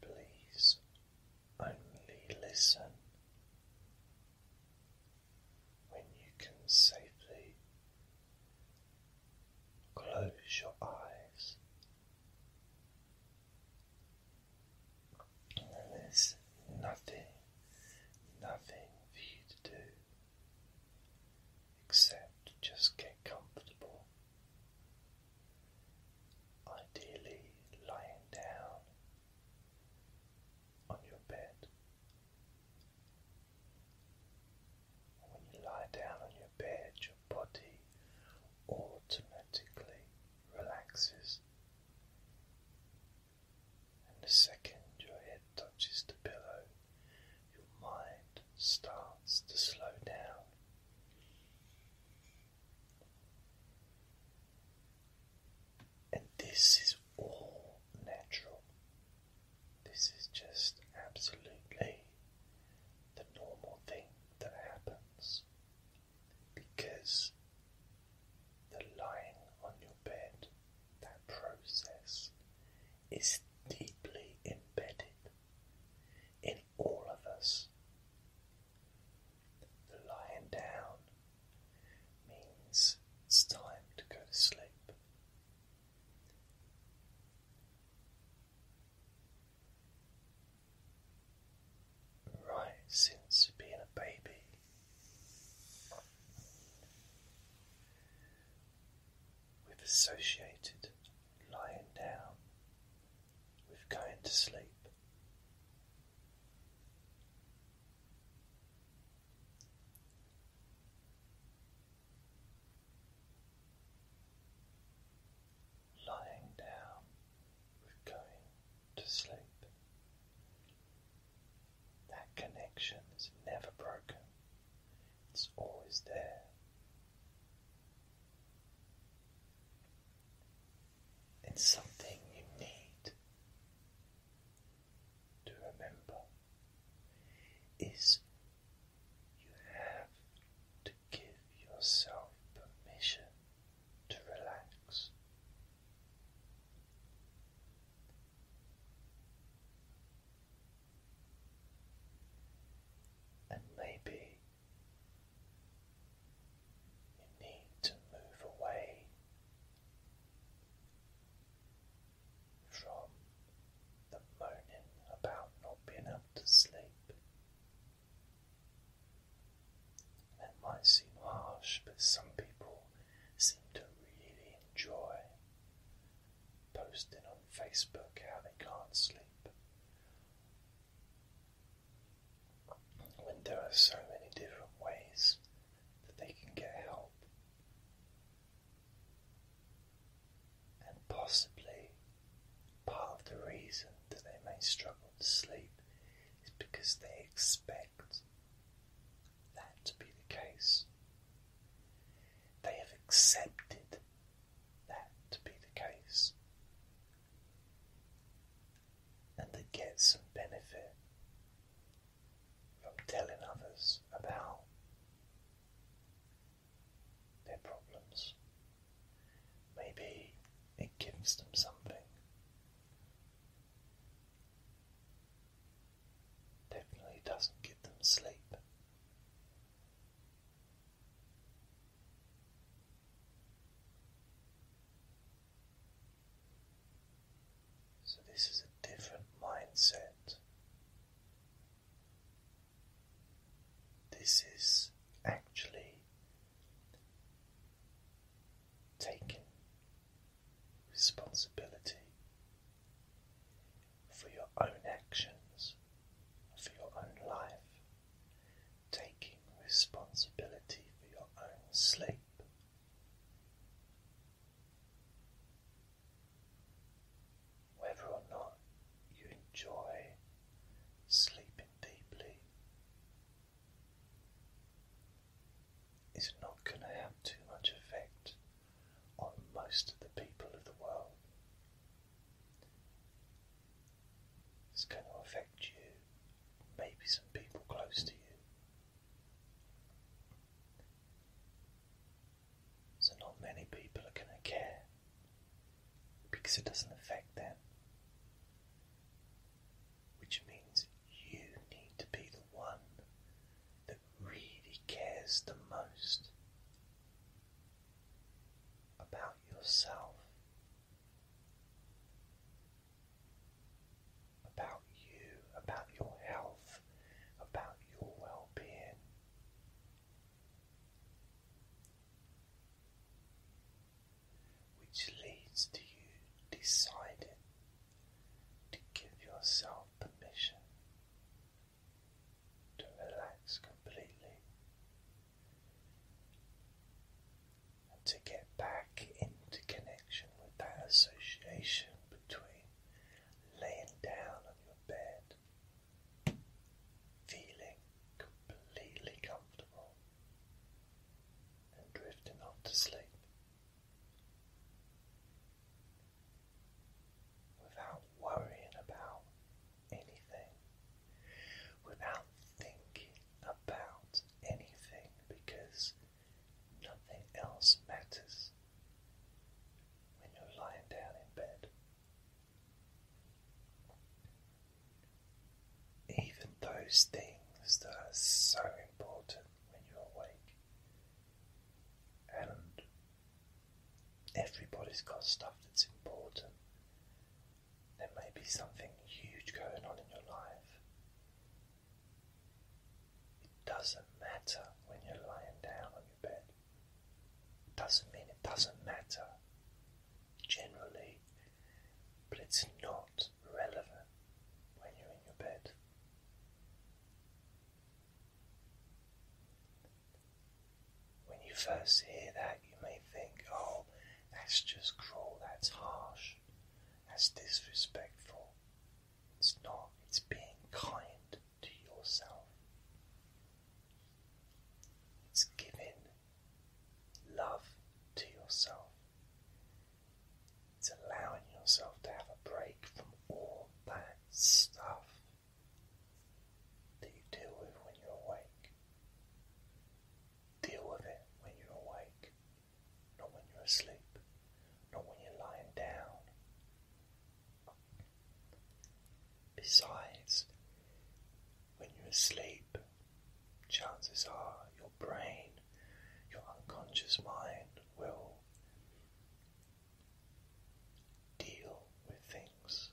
Please only listen when you can safely close your eyes there's nothing, nothing for you to do except just get comfortable ideally lying down on your bed. When you lie down on your bed, your body automatically relaxes. And the second your head touches the pillow, your mind starts to slow down. And this is all natural. This is just absolutely the normal thing that happens because the lying on your bed, that process, is deeply embedded in all of us. The lying down means it's time to go to sleep. Right, since being a baby, with associated lying down with going to sleep. Lying down with going to sleep. That connection is never broken. It's always there. It's something you need to remember is you have to give yourself permission to relax. And maybe you need to move away from the moaning about not being able to sleep. That might seem harsh, but some people seem to really enjoy posting on Facebook how they can't sleep when there are so many different ways that they can get help and possibly part of the reason that they may struggle to sleep is because they expect that to be the case. They have accepted that to be the case, and they get some benefit from telling others about their problems. Maybe it gives them something. Definitely doesn't give them sleep. So, this is a different mindset. This is actually taking responsibility for your own actions, for your own life taking responsibility for your own sleep. Whether or not you enjoy sleeping deeply is not going to have too much effect on most of the people of the world. It's going to affect you, maybe some people close to you. So, not many people are going to care because it doesn't affect them, which means you need to be the one that really cares the most about yourself, about you, about your health, about your well being. Which leads to you deciding to give yourself permission to relax completely and to get back into connection with that association between laying down on your bed, feeling completely comfortable, and drifting off to sleep. Without worrying about anything, without thinking about anything because nothing else matters when you're lying down in bed. Even those things that are so important when you're awake Everybody's got stuff that's important. There may be something huge going on in your life. It doesn't matter when you're lying down on your bed. It doesn't mean it doesn't matter, generally, but it's not relevant when you're in your bed. When you first hear that, you may think, oh, that's just cruel, that's harsh, that's disrespectful. It's not, it's being kind to yourself. It's giving love to yourself. It's allowing yourself to have a break from all that stuff that you deal with when you're awake. Deal with it when you're awake, not when you're asleep, not when you're lying down. Besides, when you're asleep, chances are your brain, your unconscious mind will deal with things,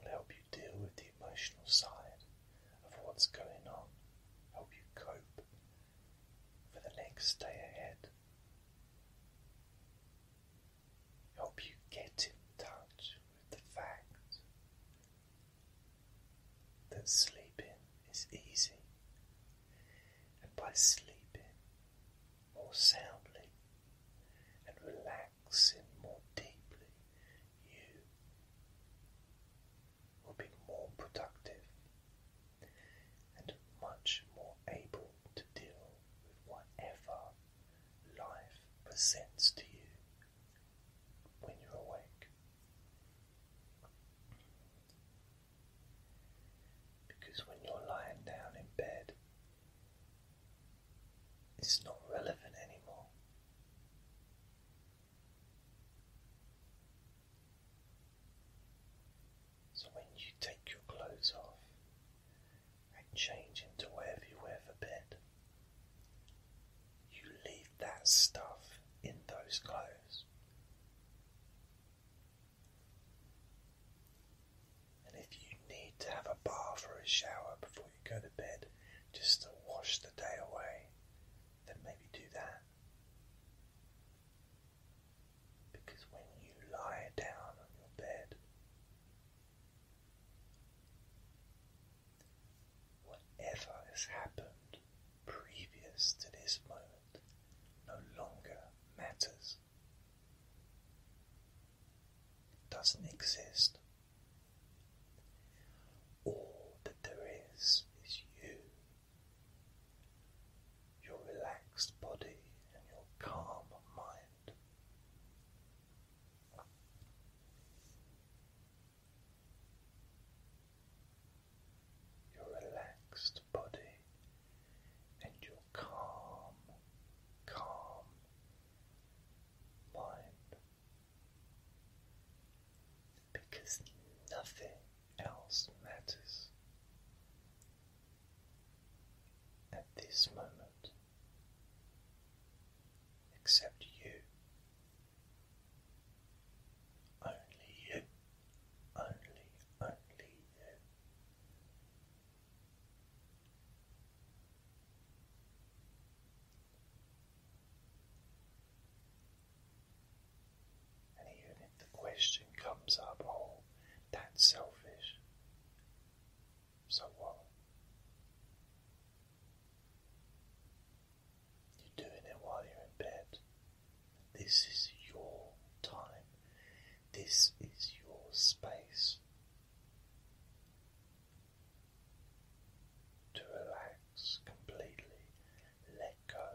will help you deal with the emotional side of what's going on, help you cope for the next day ahead, help you get in touch with the fact that sleeping is easy, and by sleeping more soundly and relaxing more deeply, you will be more productive and much more able to deal with whatever life presents to you when you're awake. Because when you're lying down in bed, it's not relevant anymore. So when you take your clothes off and change into whatever you wear for bed, you leave that stuff in those clothes. And if you need to have a bath or a shower before you go to bed just to wash the day away, then maybe do that. Because when you lie down on your bed, whatever has happened previous to this moment no longer matters. doesn't exist. All that there is is you, your relaxed body and your calm mind. Your relaxed body and your calm, calm, mind because nothing else matters at this moment except you. Only you, only, only you. And even if the question comes up, oh, that's selfish, so what? You're doing it while you're in bed. This is your time. This is your space to relax completely, let go.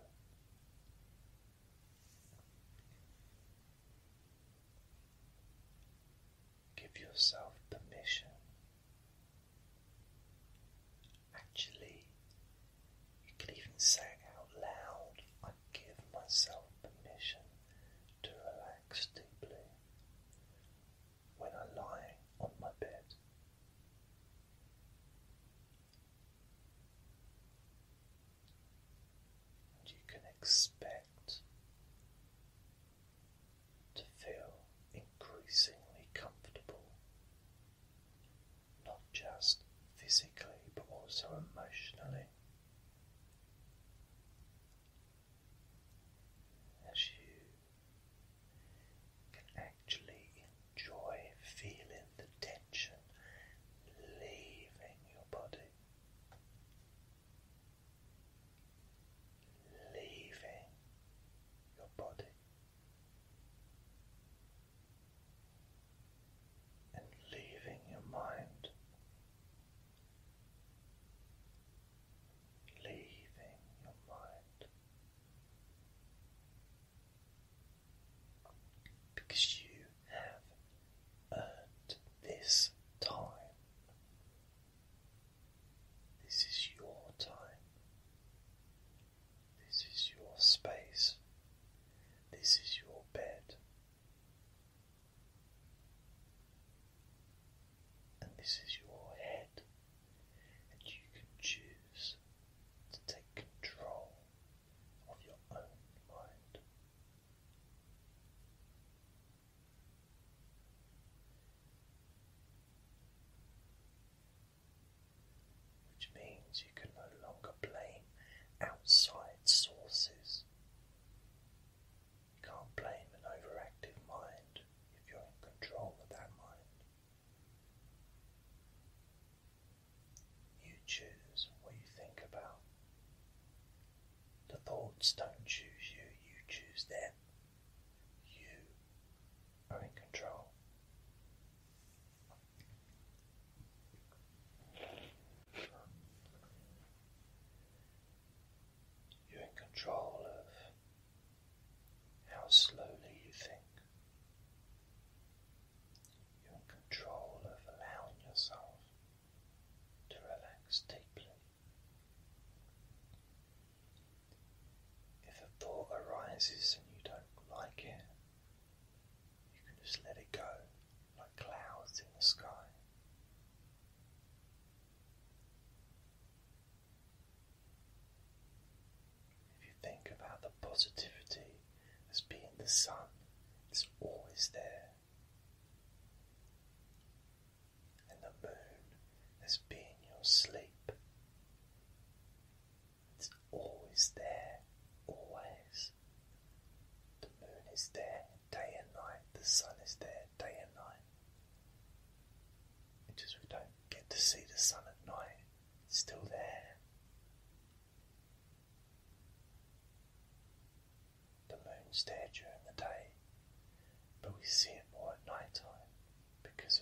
Give yourself permission. Actually, you could even say it out loud. I give myself permission to relax deeply when I lie on my bed. And you can expect to feel increasingly comfortable, not just physically but also emotionally as you can actually enjoy feeling the tension leaving your body, leaving your body. And leaving your mind, leaving your mind because you have earned this time. This is your time. This is your space. This is your bed and this is your head, and you can choose to take control of your own mind. Which means you can no longer blame outside sources. You can't blame an overactive mind if you're in control of that mind. You choose what you think about. The thoughts don't choose you, you choose them. You are in control. You're in control of how slowly you think. You're in control of allowing yourself to relax deeply. If a thought arises and you don't like it, you can just let it go like clouds in the sky. If you think about the positivity as being the sun, it's always there. And the moon as being your sleep. It's always there, always. The moon is there day and night, the sun is there day and night. It's we don't get to see the sun at night, still there. The moon's there during the day, but we see it more at night time because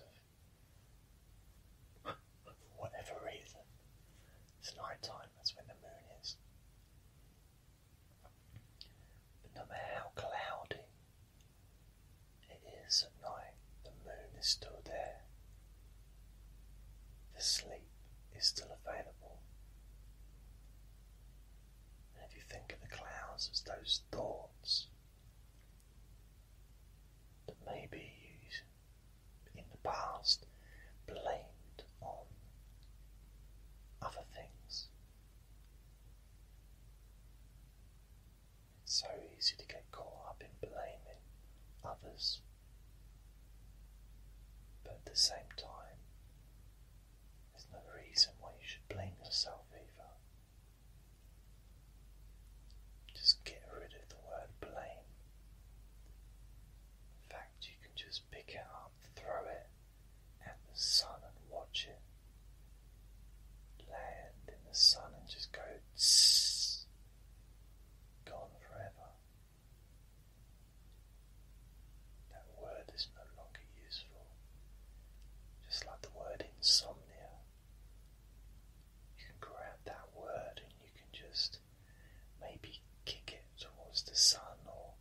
of whatever reason. It's night time, that's when the moon is. But no matter how cloudy it is at night, the moon is still there, the sleep is still available. And if you think of the clouds as those thoughts that maybe you in the past blamed on other things, it's so easy to get caught up in blaming others, but at the same time, there's no reason why you should blame yourself either. Just get rid of the word blame. In fact, you can just pick it up, throw it, at the sun and watch it land in the sun and just go tss, gone forever. That word is no longer useful. Just like the word insomnia, you can grab that word and you can just maybe kick it towards the sun, or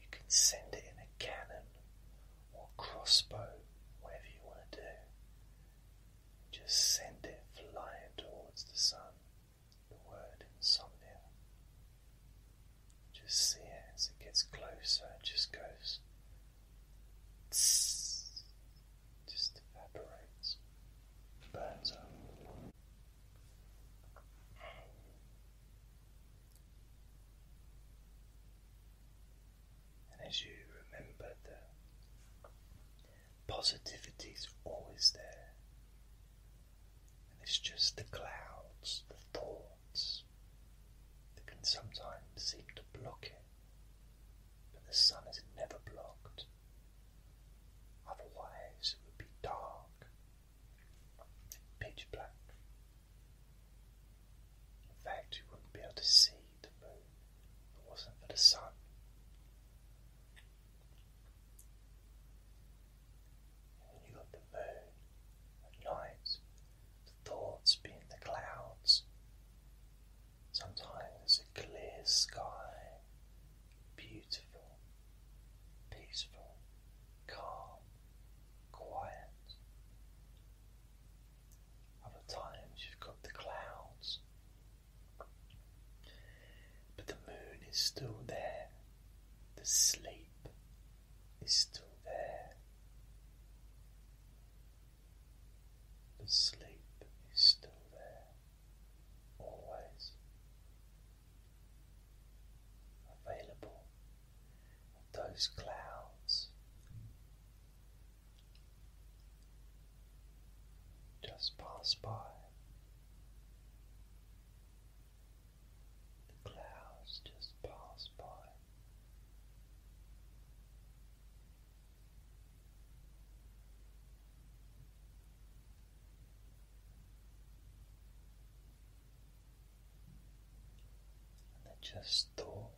you can send it in a cannon or crossbow, whatever you want to do. Just send it flying towards the sun, the word insomnia. Just see it as it gets closer, it just goes. just evaporates, burns up. And as you remember, the positivity is always there. And it's just the clouds, the thoughts that can sometimes seem to block it. But the sun is never blocked. Otherwise, it would be dark, pitch black. In fact, you wouldn't be able to see the moon if it wasn't for the sun. you got the moon at night, the thoughts being the clouds. Sometimes a clear sky, beautiful, peaceful, calm, quiet. Other times you've got the clouds. But the moon is still there. The sleep is still there. The sleep is still there. Always available those clouds. Just pass by. The clouds just pass by. And they just thoughts.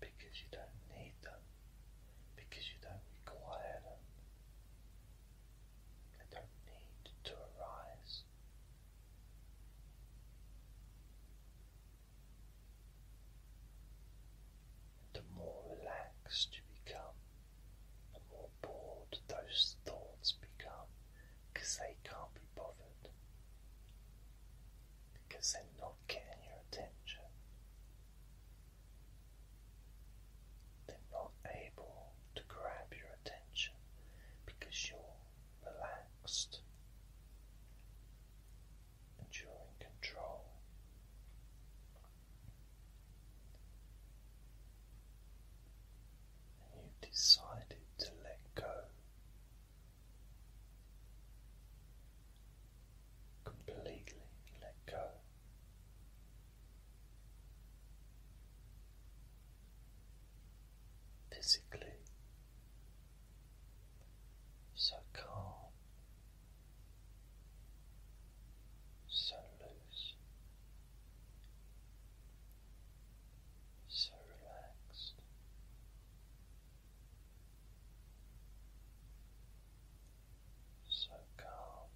Because you don't need them, because you don't require them, they don't need to arise. And the more relaxed you become, more bored those thoughts become because they can't be bothered, because they're not getting your attention. They're not able to grab your attention because you're relaxed and you're in control you decided to let go completely let go. Physically, so calm, so loose, so relaxed. So calm,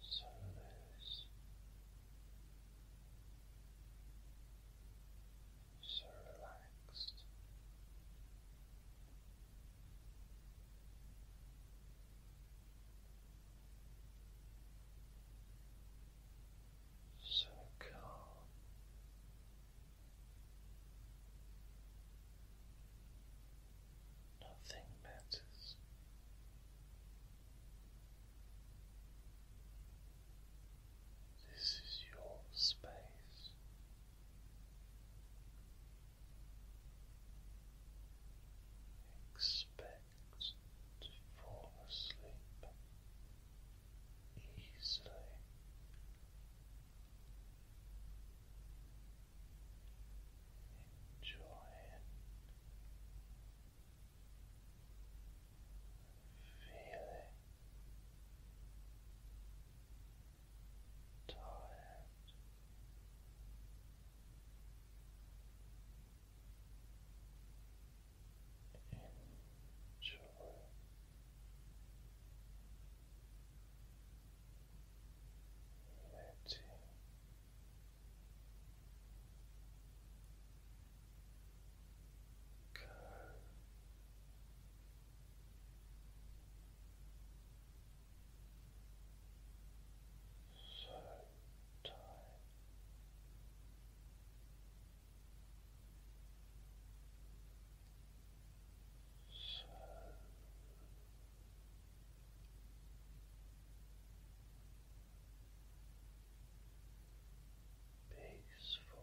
so loose, so relaxed so calm. Nothing matters. This is your space expect to fall asleep easily. Enjoying feeling tired Enjoy. Letting go so tight. So peaceful.